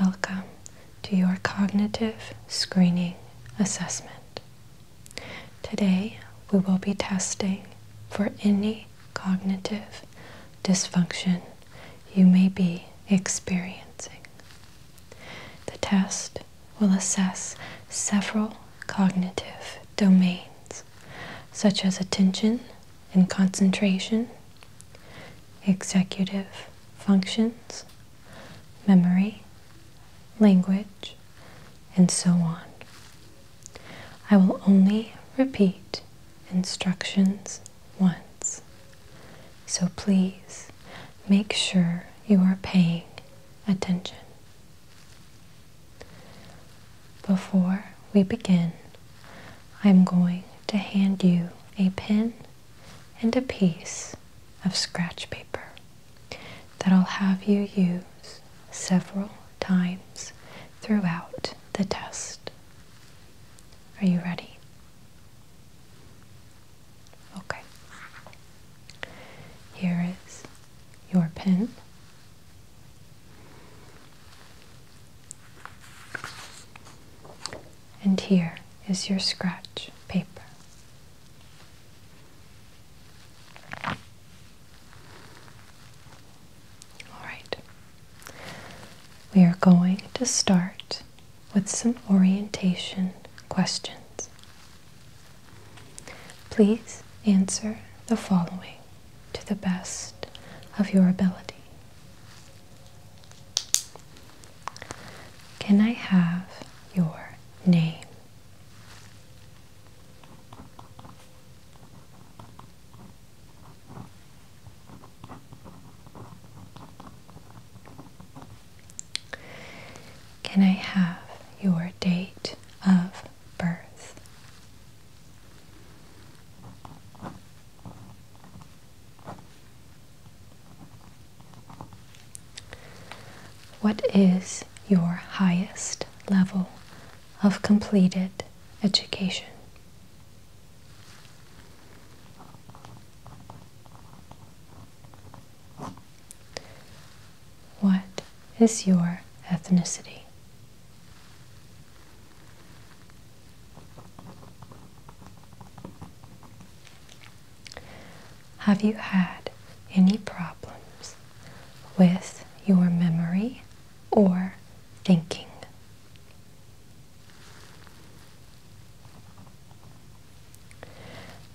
Welcome to your cognitive screening assessment. Today we will be testing for any cognitive dysfunction you may be experiencing. The test will assess several cognitive domains such as attention, and concentration, executive functions, memory, language, and so on. I will only repeat instructions once, so please make sure you are paying attention. Before we begin, I'm going to hand you a pen and a piece of scratch paper that I'll have you use several times throughout the test. Are you ready? Okay. Here is your pen and here is your scratch paper. All right. We are going to start with some orientation questions. Please answer the following to the best of your ability. Can I have your name? Can I have your date of birth? What is your highest level of completed education? What is your ethnicity? Have you had any problems with your memory or thinking?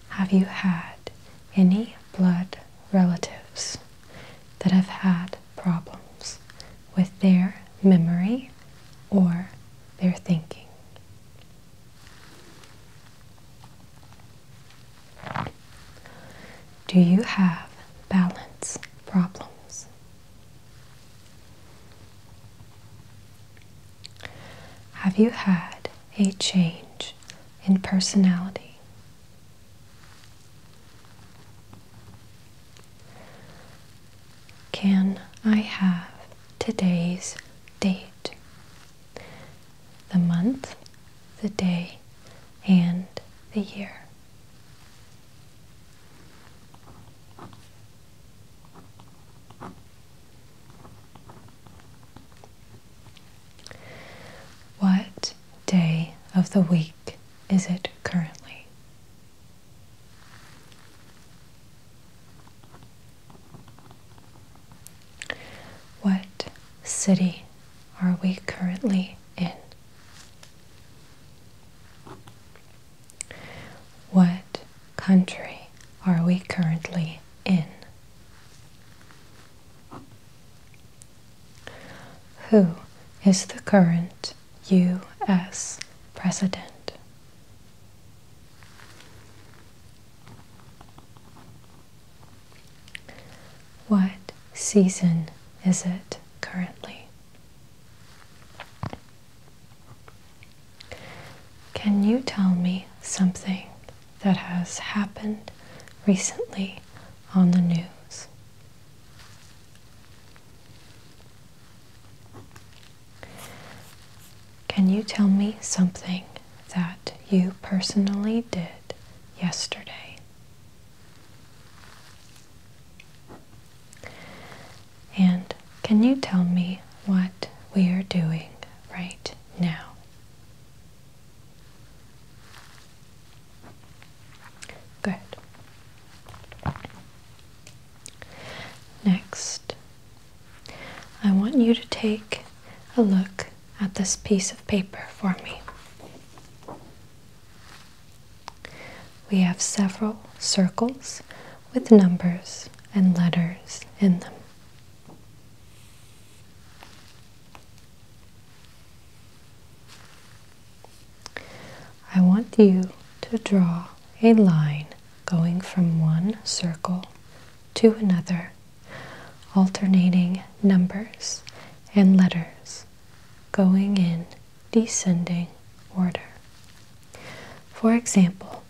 Have you had any blood relatives that have had problems with their memory or their thinking. Do you have balance problems? Have you had a change in personality? Can I have today's date? The month, the day, and the year. What day of the week is it currently? What city are we currently in? What country are we currently in? Who is the current U.S. President. What season is it currently? Can you tell me something that has happened recently on the news? Can you tell me something that you personally did yesterday? And can you tell me what we are doing right now? Good. Next, I want you to take a look at this piece of paper for me. We have several circles with numbers and letters in them. I want you to draw a line going from one circle to another, alternating numbers and letters going in descending order. For example,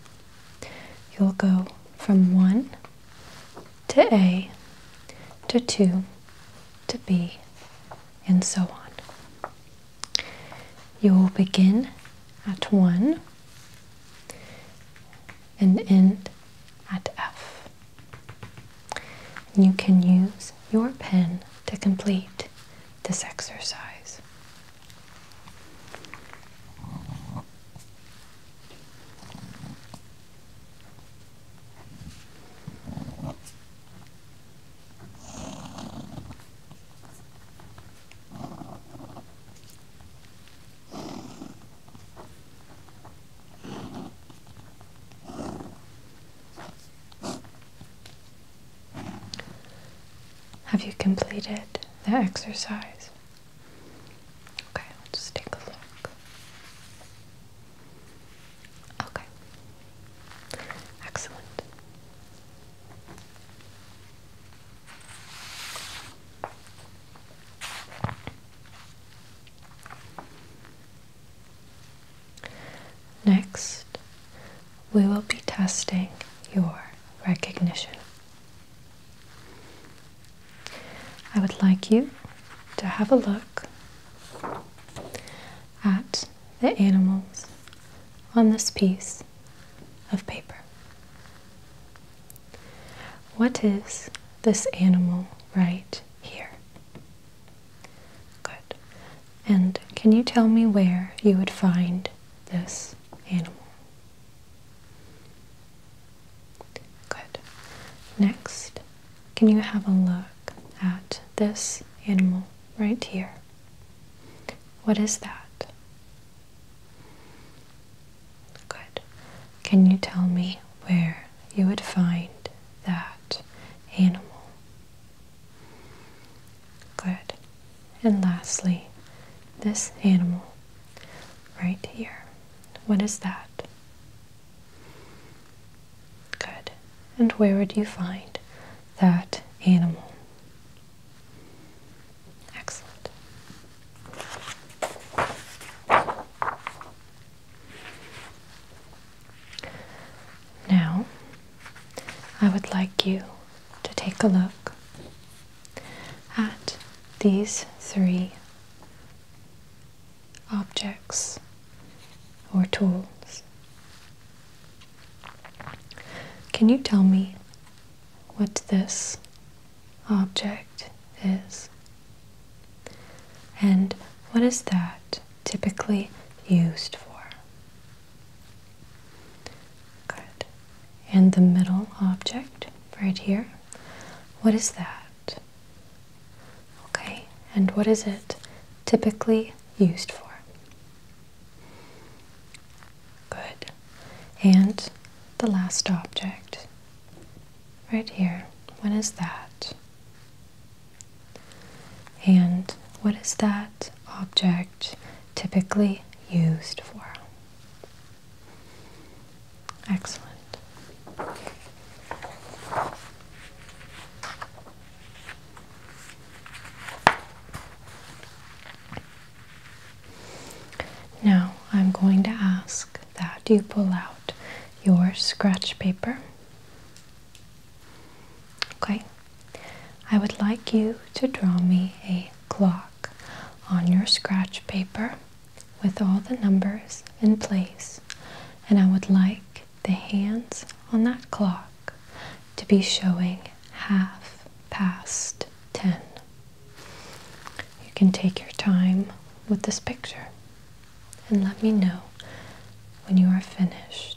you'll go from 1 to A to 2 to B and so on. You'll begin at 1 and end at F. You can use your pen to complete this exercise. Have you completed the exercise? Okay, just take a look. Okay. Excellent. Next, we will be testing your recognition. I would like you to have a look at the animals on this piece of paper. What is this animal right here? Good. And can you tell me where you would find this animal? Good. Next, can you have a look at this animal right here? What is that? Good. Can you tell me where you would find that animal? Good. And lastly, this animal right here. What is that? Good. And where would you find that animal? Excellent. Now, I would like you to take a look at these three objects or tools. Can you tell me what this object is? And what is that typically used for? Good. And the middle object right here, what is that? Okay, and what is it typically used for? Good. And the last object right here. What is that? And what is that object typically used for? Excellent. Now I'm going to ask that you pull out your scratch paper. Okay, I would like you to draw me a clock on your scratch paper with all the numbers in place, and I would like the hands on that clock to be showing half past 10. You can take your time with this picture and let me know when you are finished.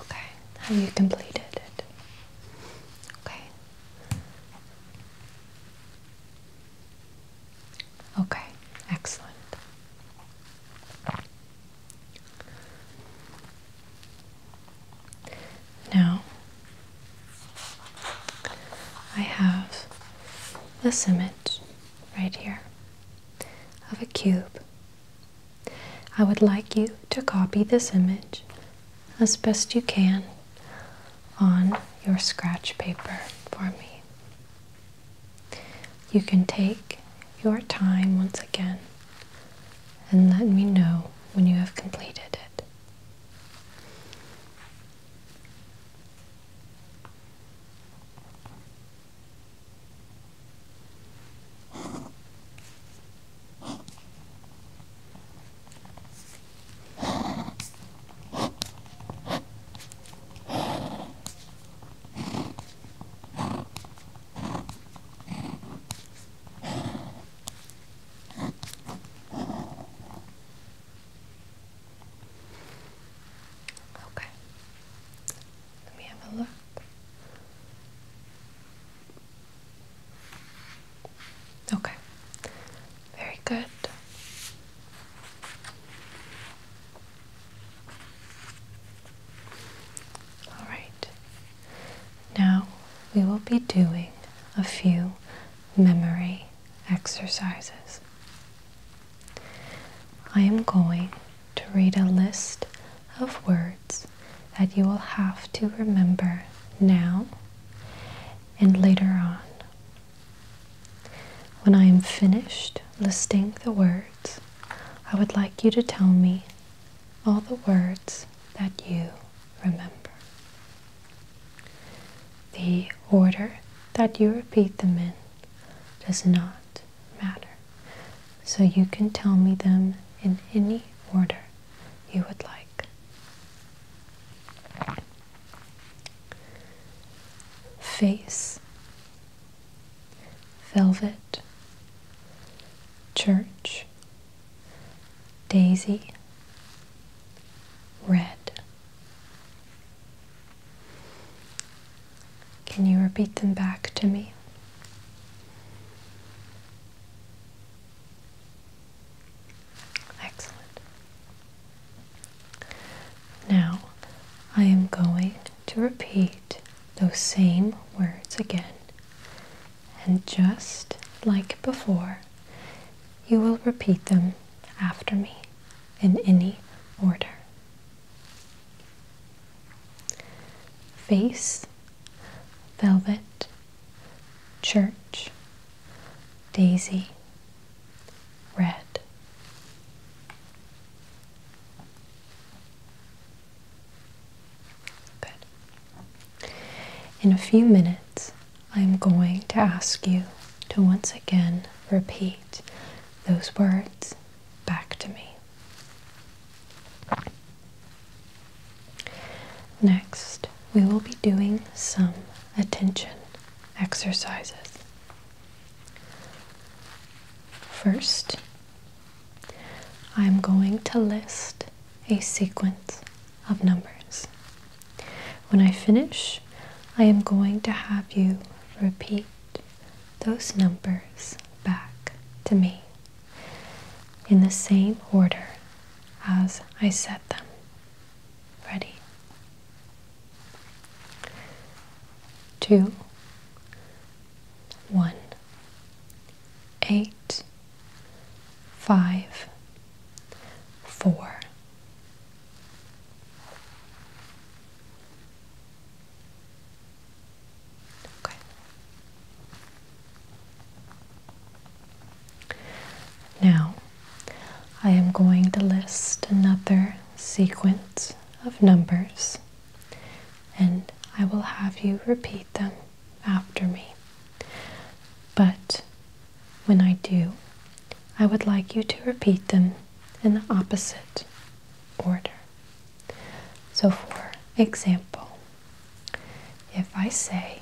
Okay, have you completed it? Okay. Okay, excellent. Now, I have this image right here of a cube I would like you to copy this image as best you can on your scratch paper for me. You can take your time once again and let me know when you have completed it. Okay. Let me have a look. Okay, very good. All right, now we will be doing a few memory exercises. I am going to read a list of words that you will have to remember now and later on. When I am finished listing the words, I would like you to tell me all the words that you remember. The order that you repeat them in does not matter, so you can tell me them in any order you would like. Face, velvet, church, daisy, red. Can you repeat them back to me? Excellent. Now I am going to repeat those same words again. And just like before, you will repeat them after me in any order. Face, velvet, Church, Daisy, Red. Good. In a few minutes, I'm going to ask you to once again repeat those words back to me. Next, we will be doing some attention exercises. First, I'm going to list a sequence of numbers. When I finish, I am going to have you repeat those numbers back to me in the same order as I set them. Ready? Two, one, eight, five, four. Okay. Now, I am going to list another sequence of numbers and I will have you repeat them after me. But when I do, I would like you to repeat them in the opposite order. So, for example, if I say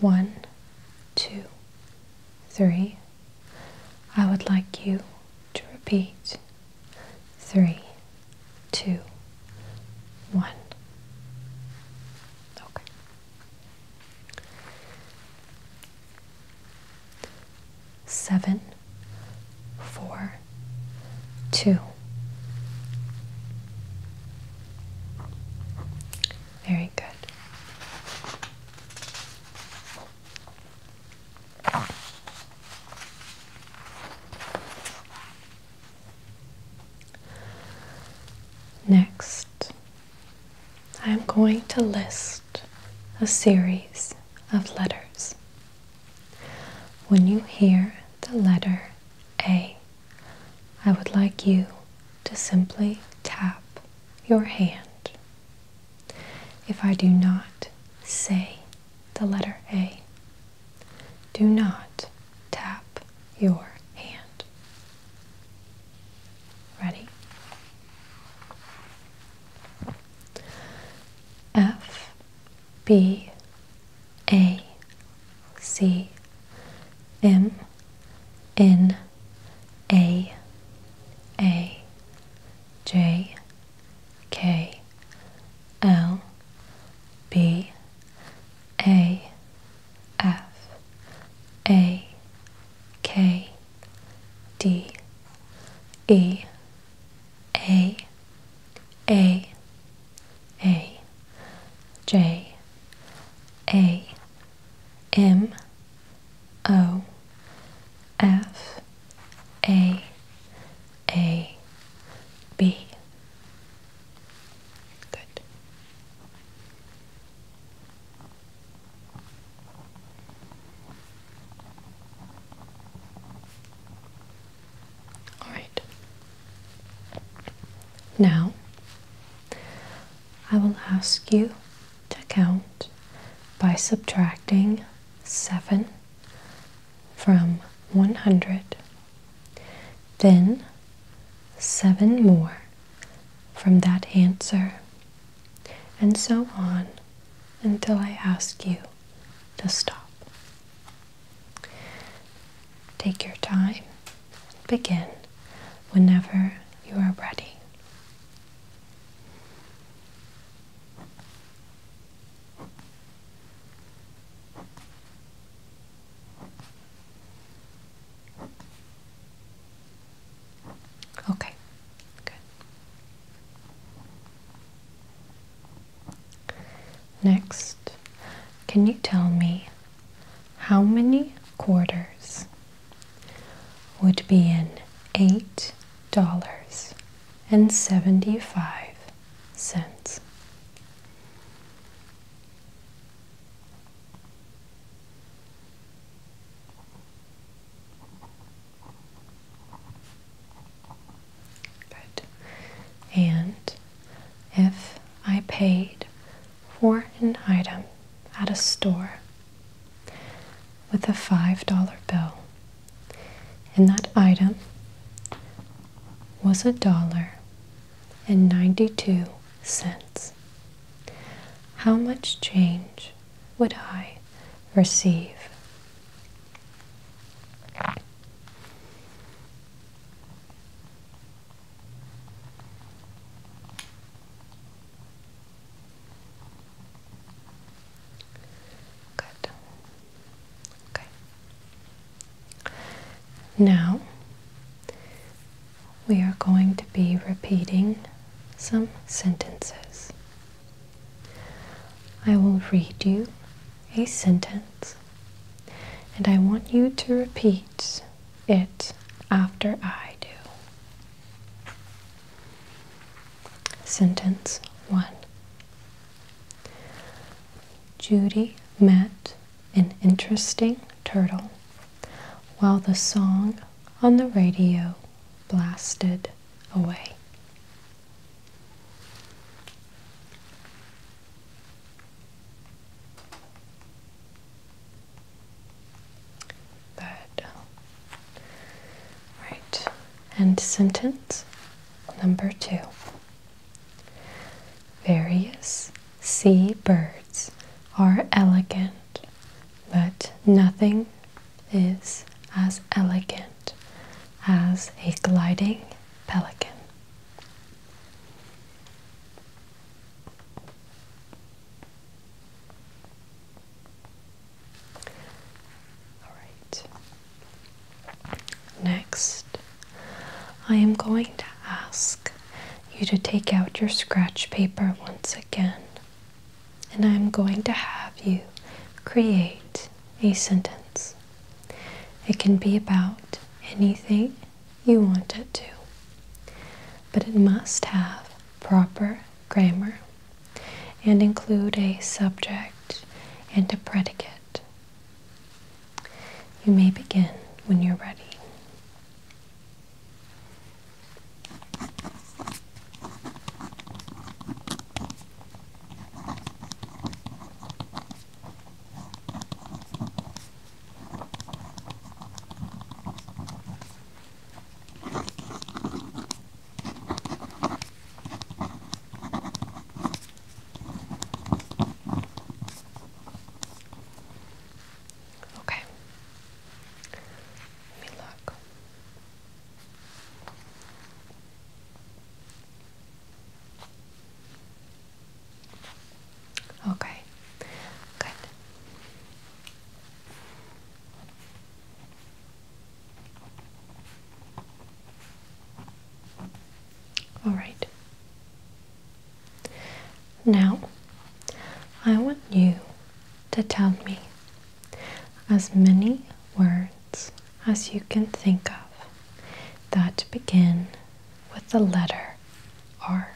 one, two, three. I would like you to repeat three, two, one. Okay. Seven, four, two, very good. Next, I'm going to list a series of letters. When you hear the letter A, I would like you to simply tap your hand. If I do not say the letter A, do not tap your hand. Ready? F, B, a C M N A A J K L B A F A K D E A A a J A M O F A A B Good. All right. Now, I will ask you to count by subtracting 7 from 100, then 7 more from that answer, and so on until I ask you to stop. Take your time. Begin whenever you are ready. Okay, good. Next, can you tell me how many quarters would be in eight dollars and seventy five cents? Good. And if I paid for an item at a store with a $5 bill. And that item was a dollar and 92 cents. How much change would I receive? Good. Okay. Now we are going to be repeating some sentences. I will read you a sentence and I want you to repeat it after I do. Sentence 1 Judy met an interesting turtle while the song on the radio blasted away. Good. Uh, right. And sentence number two. Various sea birds are elegant, but nothing is as elegant as a gliding pelican. Alright. Next, I am going to ask you to take out your scratch paper once again, and I'm going to have you create a sentence. It can be about anything you want it to. But it must have proper grammar and include a subject and a predicate. You may begin when you're ready. Okay. Let me Okay, good. All right. Now, I want you to tell me as many words as you can think of that begin with the letter R.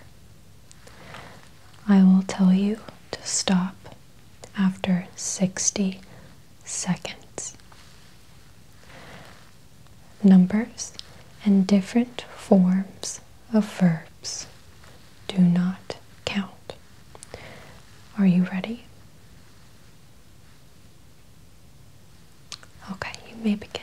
I will tell you to stop after 60 seconds. Numbers and different forms of verbs do not count. Are you ready? Okay, you may begin.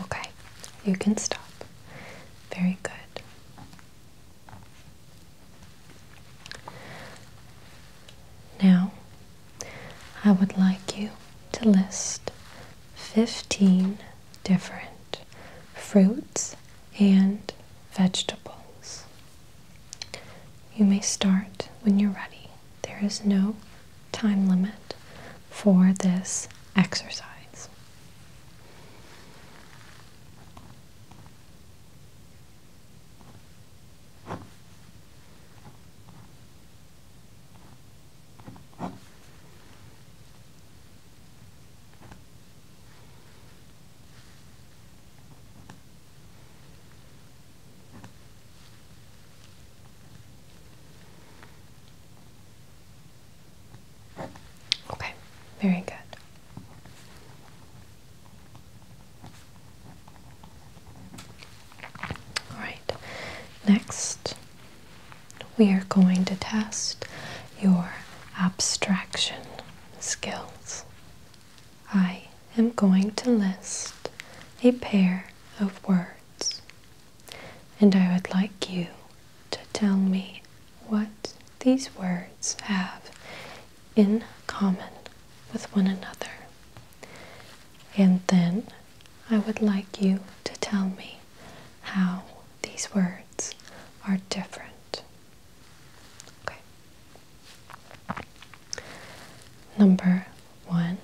Okay, you can stop. Very good. Now, I would like you to list 15 different fruits and vegetables. You may start when you're ready. There is no time limit for this exercise. Okay, very good. All right, next we are going to test your abstraction skills. I am going to list a pair of words, and I would like you to tell me what these words have in common with one another. And then I would like you to tell me how these words are different. Okay. Number one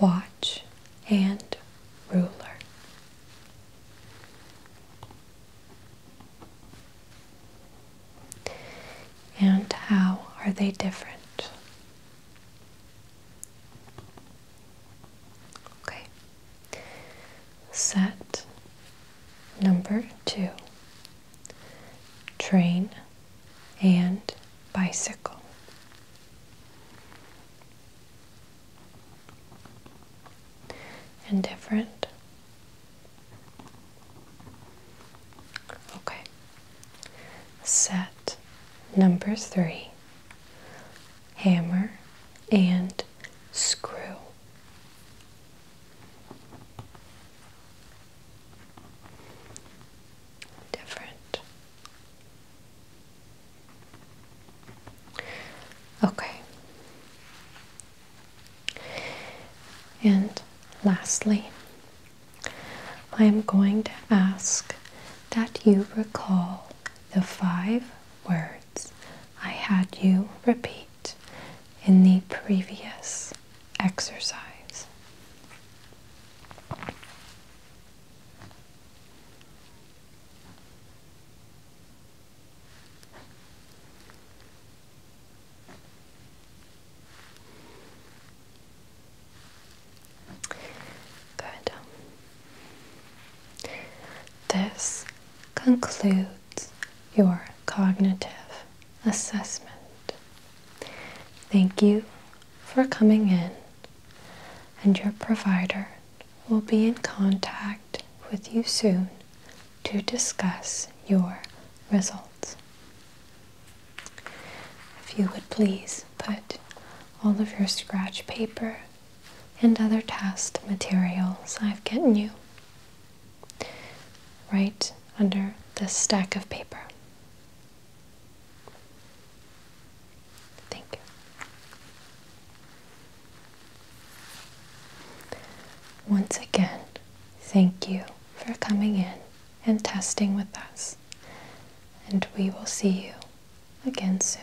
watch and ruler. And how are they different? Okay. Set number two train and bicycle. And different. Okay. Set number three hammer, and screw. Different. Okay. And lastly, I am going to ask that you recall the five words I had you repeat in the previous exercise. Good. This concludes your cognitive assessment. Thank you for coming in, and your provider will be in contact with you soon to discuss your results. If you would please put all of your scratch paper and other test materials I've gotten you right under this stack of paper. Thank you. Once again, thank you for coming in and testing with us, and we will see you again soon.